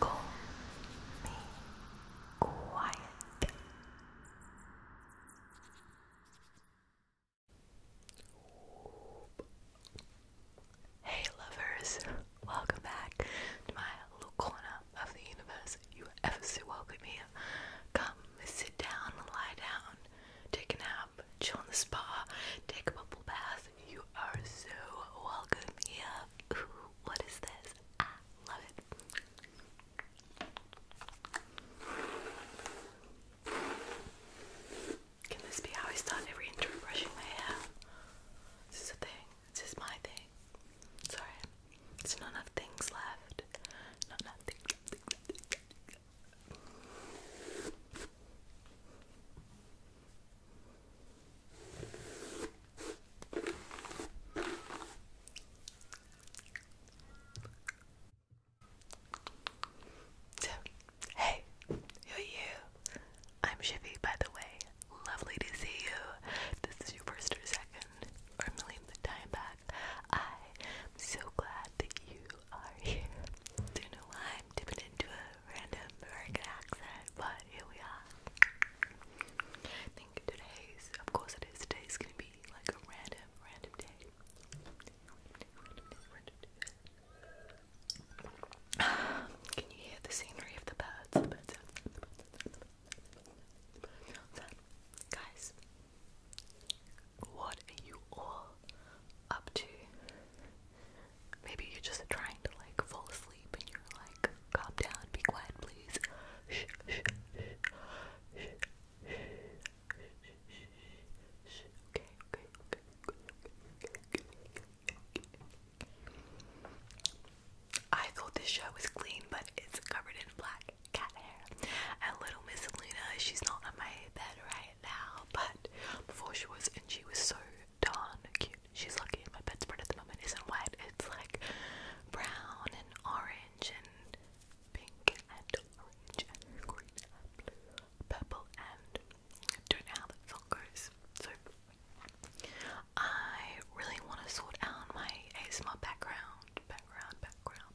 Call me quiet. Hey lovers, welcome back to my little corner of the universe. You ever so welcome here. Come, sit down, lie down, take a nap, chill in the spa, take a bubble bath, you are so welcome here. what is this? Ah, love it. Can this be how I start every brushing my hair? This is a thing. This is my thing. Sorry. There's not enough things left. Not enough things so, hey, who are you? I'm Shippy, by the way. Lovely to see you. This is your first or second, or millionth time back. I am so glad that you are here. Do you know I'm dipping into a random American accent, but here we are. think today's, of course it is, today's gonna be like a random, random day. Can you hear the scenery of the birds? The birds Guys, what are you all up to. Maybe you're just trying to like fall asleep and you're like, calm down, be quiet, please. Shh, shh, shh, shh, shh, shh, shh. Okay, okay, okay, okay, okay. I thought this show was clean, but it's covered in black cat hair. And little Miss Luna, she's not on my bed right it now, but before she was, and she was so darn cute. She's lucky my bedspread at the moment isn't white, it's like brown and orange and pink and orange and green and blue, purple and I don't know how that song goes. So I really want to sort out my ASMR background, background, background.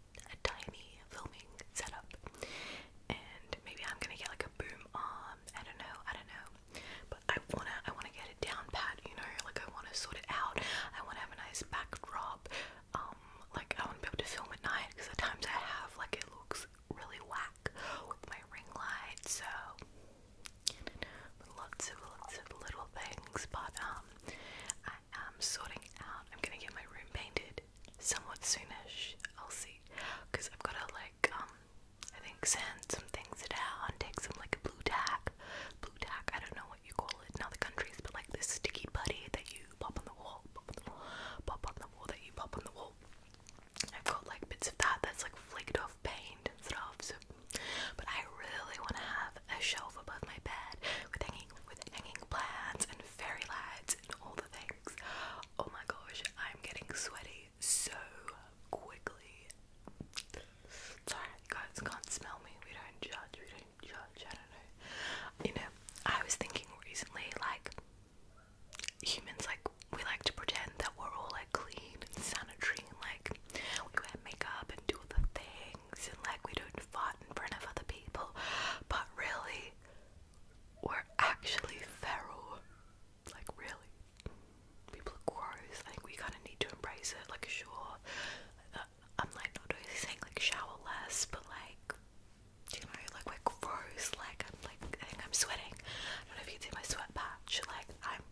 a tiny filming setup. And maybe I'm gonna get like a boom arm. I don't know, I don't know. But I wanna I wanna get it down pat, you know, like I wanna sort it out. I wanna have a nice backdrop. Um, like I wanna be able to film at night because the times I have like it looks really whack with my ring light, so lots of lots of little things, but um I am sorting out. I'm gonna get my room painted somewhat soonish. I'll see, I've gotta like um, I think sand some things down, take some like a blue tack, blue tack. I don't know what you call it in other countries, but like this sticky putty that you pop on the wall, pop on the wall, pop on the wall that you pop on the wall. I've got like bits of that that's like flaked off paint stuff. So, but I really want to have a shelf above my bed with with hanging plants and fairy lights and all the things. Oh my gosh, I'm getting sweaty so quickly. Sorry, guys can't smell me. We don't judge. We don't judge. I don't know. You know, I was thinking recently, like humans, like we like to pretend that we're all like clean and sanitary and like we wear makeup and do the thing things and like we don't fart in front of other people, but really, we're actually feral. Like, really. People are gross. I think we kind of need to embrace it. Like, sure, uh, I'm like not really saying like shower less, but like, you know, like we're gross. Like, I'm like, I think I'm sweating. I don't know if you can see my sweat patch. Like, I'm,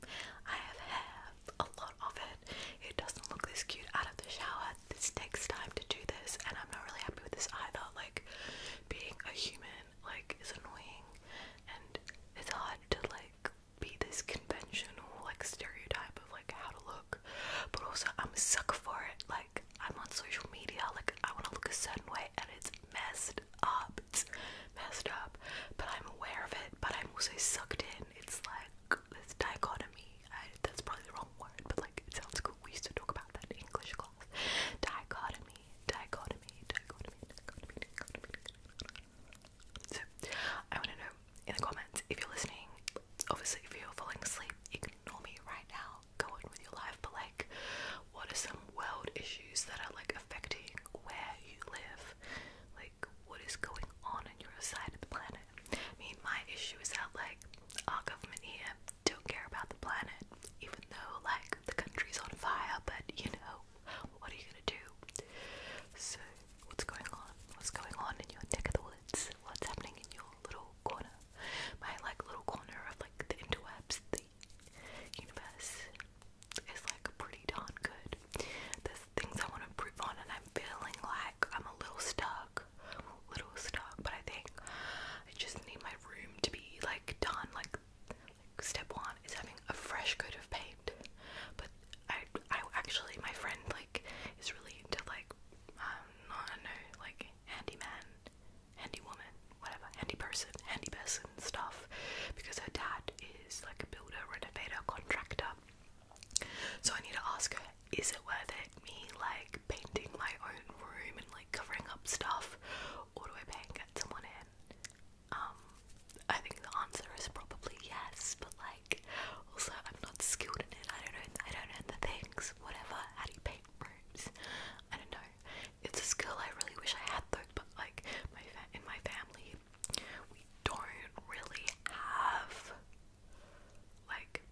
I have hair, a lot of it. It doesn't look this cute out of the shower this takes time to do this, and I'm not really happy with this either. Like, being a human, like, is annoying, and it's hard to, like, be this conventional, like, stereotype of, like, how to look. But also, I'm a for it. Like, I'm on social media, like, I want to look a certain way, and it's messed up. It's messed up. But I'm aware of it, but I'm also sucked in. It's like, this dichotomy. that's probably the wrong word, but like it sounds cool. We used to talk about that in English class. Dichotomy, dichotomy, dichotomy, dichotomy, dichotomy. So I want to know in the comments if you're listening. Obviously, if you're falling asleep, ignore me right now. Go on with your life. But like, what are some world issues that are like affecting where you live? Like, what is going on on your side of the planet? I mean, my issue is that, like, our government here don't care about the planet, even though, like, the country's on fire, but you know, what are you gonna do? So, what's going on? What's going on in your neck of the woods? What's happening in your little corner? My, like, little corner of, like, the interwebs, the universe is, like, pretty darn good. There's things I want to improve on, and I'm feeling like I'm a little stuck little stuck, but I think I just need my room to be like done. Like, step one is having a fresh coat of paint, but I, I actually my friend like is really into like um I like handyman, handy woman, whatever, handy person, handy person stuff, because her dad is like a builder, renovator, contractor. So I need to ask her, is it worth it me like painting my own room and like covering up stuff, or do I paint and someone in? Um, I think the answer is probably yes, but like also I'm not skilled in it. I don't know. I don't know the things. Whatever. How do you paint rooms? I don't know. It's a skill I really wish I had though. But like my in my family, we don't really have like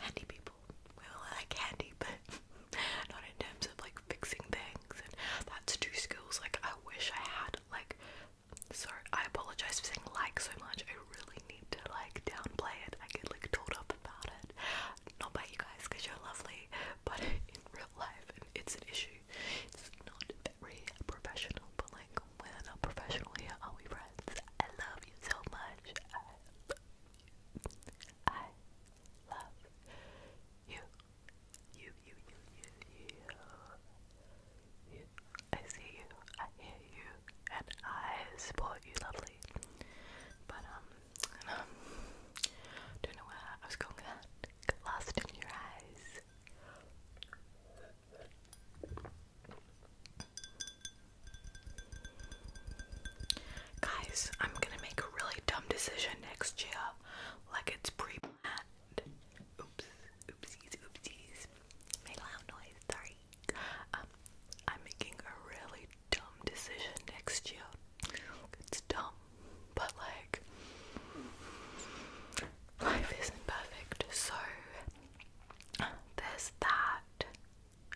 handy people. We all like handy, but not in terms of like fixing things. And that's two skills. Like I wish I had. Like sorry, I apologize for saying like so much. I really need to like downplay it. I get like told up about it. Not by you guys because you're lovely, but in real life, it's an issue. It's not very professional, but like we're not here, are we, Brad? I love you so much. I love you. I love you. You, you, you, you, you. you. I see you. I hear you. And I support you, lovely. But, um, don't know where I was going with that. lost in your eyes. Guys, I'm gonna make a really dumb decision next year. Like it's pre planned. oopsies, oopsies. Made a loud noise, sorry. Um, I'm making a really dumb decision next year. It's dumb, but like, life isn't perfect, so there's that.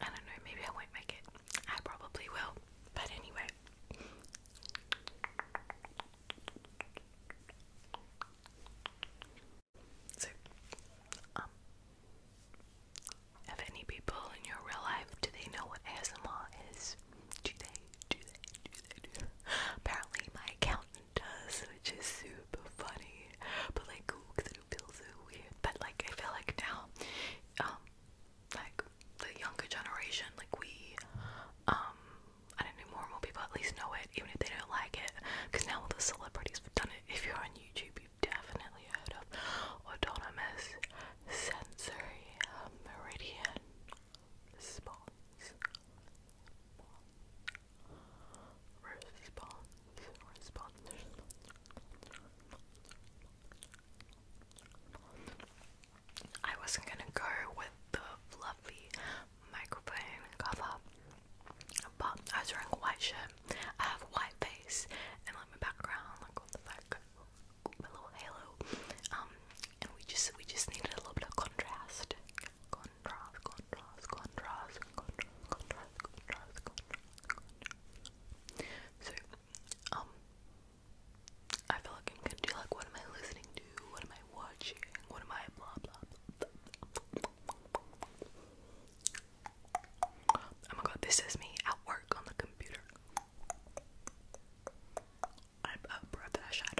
I don't know, maybe I won't make it. I probably will. But anyway. So, um, have any people in your real life, do they know what ASMR is? do they, do they, do they? Apparently my accountant does, which is super funny but like because it feels so weird. But like I feel like now, um, like the younger generation, like we, um, I don't know, more and more people at least know it, even if they don't like it, because now all the celebrities have done it. If you're on YouTube, you've definitely heard of autonomous sensory meridian response response, I wasn't gonna go with the fluffy microphone cover, but I was wearing white shirt. I have a white face, and like my background, like on the back, my little halo. Um, and we just we just needed a little bit of contrast, contrast, contrast, contrast, contrast, contrast, contrast. So, um, I feel like I'm gonna do like, what am I listening to? What am I watching? What am I blah blah Oh my god, this is me at work on the computer. I'm a professional.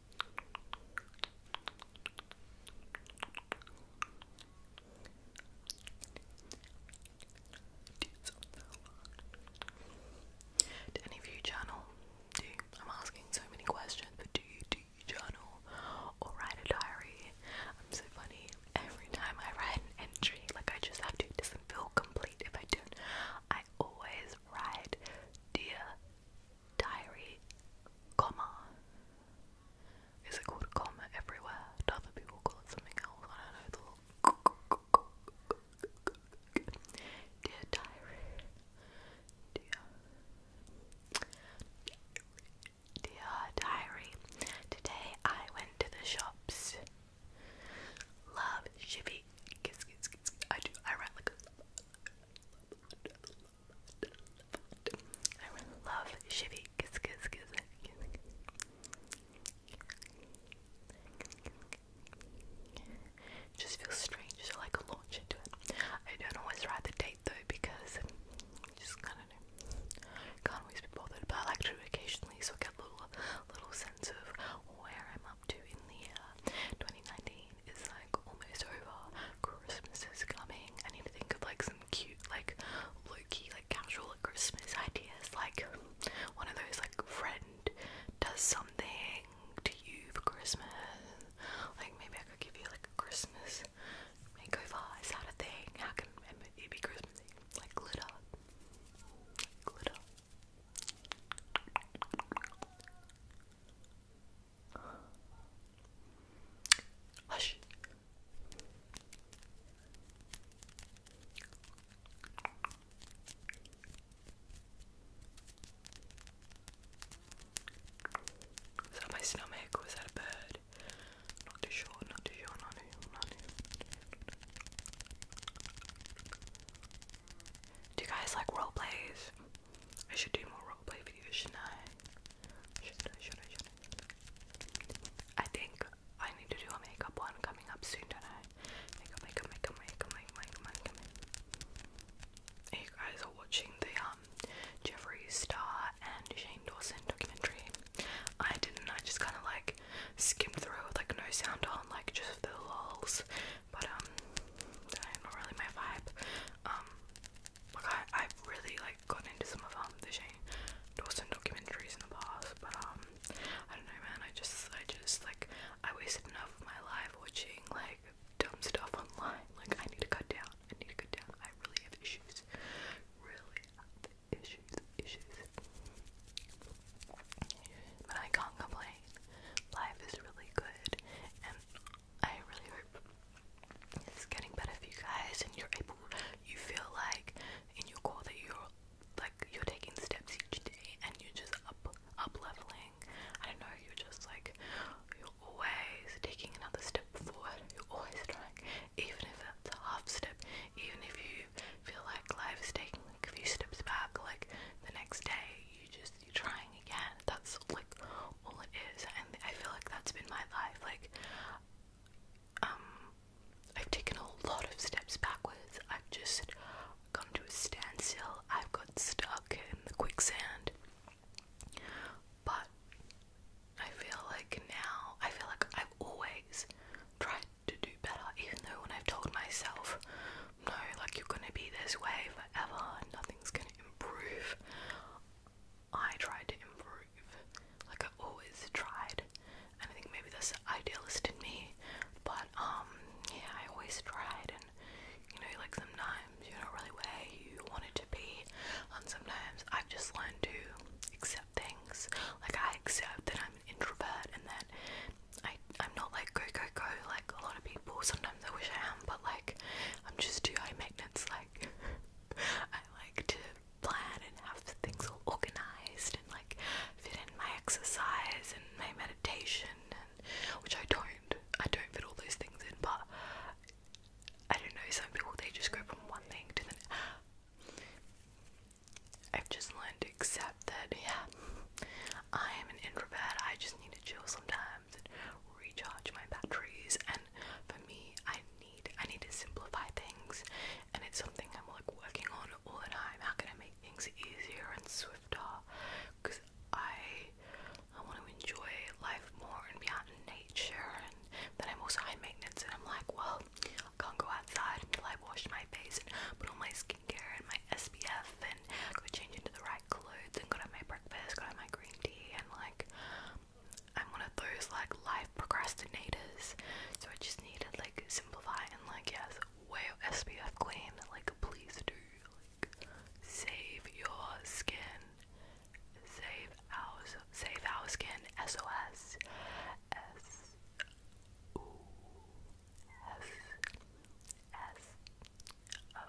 Do you Do you, I'm asking so many questions, but do you do you journal or write a diary? I'm so funny. Every time I write an entry, like I just have to, it doesn't feel complete if I don't. I always write dear diary, comma. Is it called a comma everywhere? other people call it something else? I don't know. Dear diary, dear, dear diary. Today I went to the shops. Love Chevy. I do. I write like I really love Chevy Kiss Kiss Kiss. just feels strange to like launch into it. I don't always write the date though because um, just kind of can't always be bothered. But I like to occasionally, so I get a little little sense of where I'm up to in the 2019 is like almost over, Christmas is coming. I need to think of like some cute, like low key, like casual Christmas ideas. Like one of those, like, friend does something to you for Christmas. Like, maybe I could give you like a Christmas makeover. Is that a thing? How can it be Christmassy? Like, glitter. Glitter. Hush. Is that my stomach or is that a bird? Not too sure, not too sure, not too sure, not too sure. Do you guys like role plays? I should do more play videos, shouldn't I? Should I, should I, should I? I think I need to do a makeup one coming up soon, don't I? Makeup, makeup, makeup, makeup, makeup, makeup, makeup, You guys are watching the um Jeffree Star and Shane Dawson documentary. I didn't, I just kind of like skimmed through with like no sound on, like just for the lulls. But um, not really my vibe. Um, like I, I've really like gotten into some of um the Shane Dawson documentaries in the past, but um, I don't know, man. I just, I just like I wasted enough of my life watching like dumb stuff online. Like I need to cut down. I need to cut down. I really have issues. Really issues. Issues. But I can't complain. Life is really good, and I really hope it's getting better for you guys and you're able you feel like in your core that you're like you're taking steps each day and you're just up up leveling. I don't know, you're just like you're always taking another step forward. You're always trying. Even if that's a half step, even if you feel like life is taking like a few steps back, like the next day you just you're trying again. That's like all it is, and I feel like that's been my life. Like, um, I've taken a lot of steps backwards. I've just come to a standstill. I've got stuck in the quicksand. But I feel like now, I feel like I've always tried to do better, even though when I've told myself, no, like you're gonna be this way forever, and nothing's gonna improve. I tried to improve, like I always tried, and I think maybe this idealist in me. But um, yeah, I always tried, and you know, like sometimes you're not really where you want it to be, and sometimes I've just learned to accept things. Like I accept that I'm an introvert and that I I'm not like go go go like a lot of people. Sometimes I wish I am, but like. I'm just too high maintenance. Like I like to plan and have things all organized and like fit in my exercise and my meditation, and which I don't. I don't fit all those things in, but I don't know. Some people they just go from one thing to the. next. I've just learned to accept that, yeah, I'm an introvert. I just need to chill sometimes recharge my batteries. And for me, I need I need to simplify things, and it's something I'm like working on all the time. How can I make things easier and swifter? Because I I want to enjoy life more and be out in nature, and then I'm also high maintenance, and I'm like, well, I can't go outside until I wash my face and put on my skincare and my SPF and go change into the right my clothes and got out my breakfast, got out my green tea, and like I'm one of those like life procrastinators, so I just needed like simplify and like yes, wear your SPF clean, like please do, like save your skin, save our save our skin, SOS, S O S S O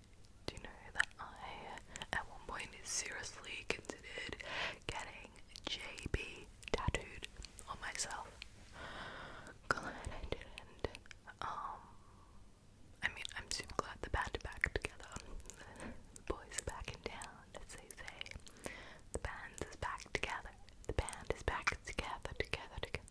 Do you know that I, at one point, seriously considered getting JB tattooed on myself? Glad I didn't. Um, I mean, I'm super glad the band's back together. the boys are back in town, as they say. The band is back together. The band is back together, together, together.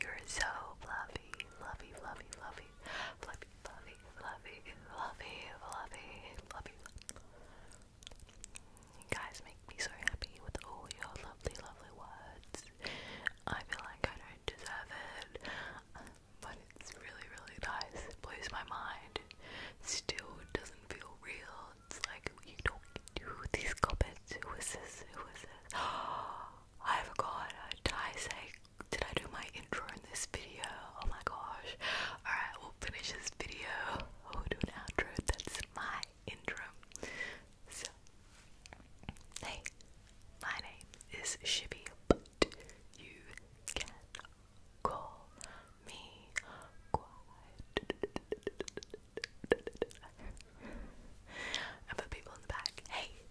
You're so fluffy, fluffy, fluffy, fluffy, fluffy, fluffy, fluffy, fluffy, fluffy, guys make me so happy with all your lovely, lovely words. I feel like I don't deserve it, but it's really, really nice. It blows my mind. still doesn't feel real. It's like, you don't do these comments. Who is this? Who is this? Oh, I forgot. Did I say? Did I do my intro in this video? Oh my gosh! All right, we'll finish this video. Oh, we'll do an outro. That's my intro. So, hey, my name is Shibby, you can call me quiet. and for people in the back, hey,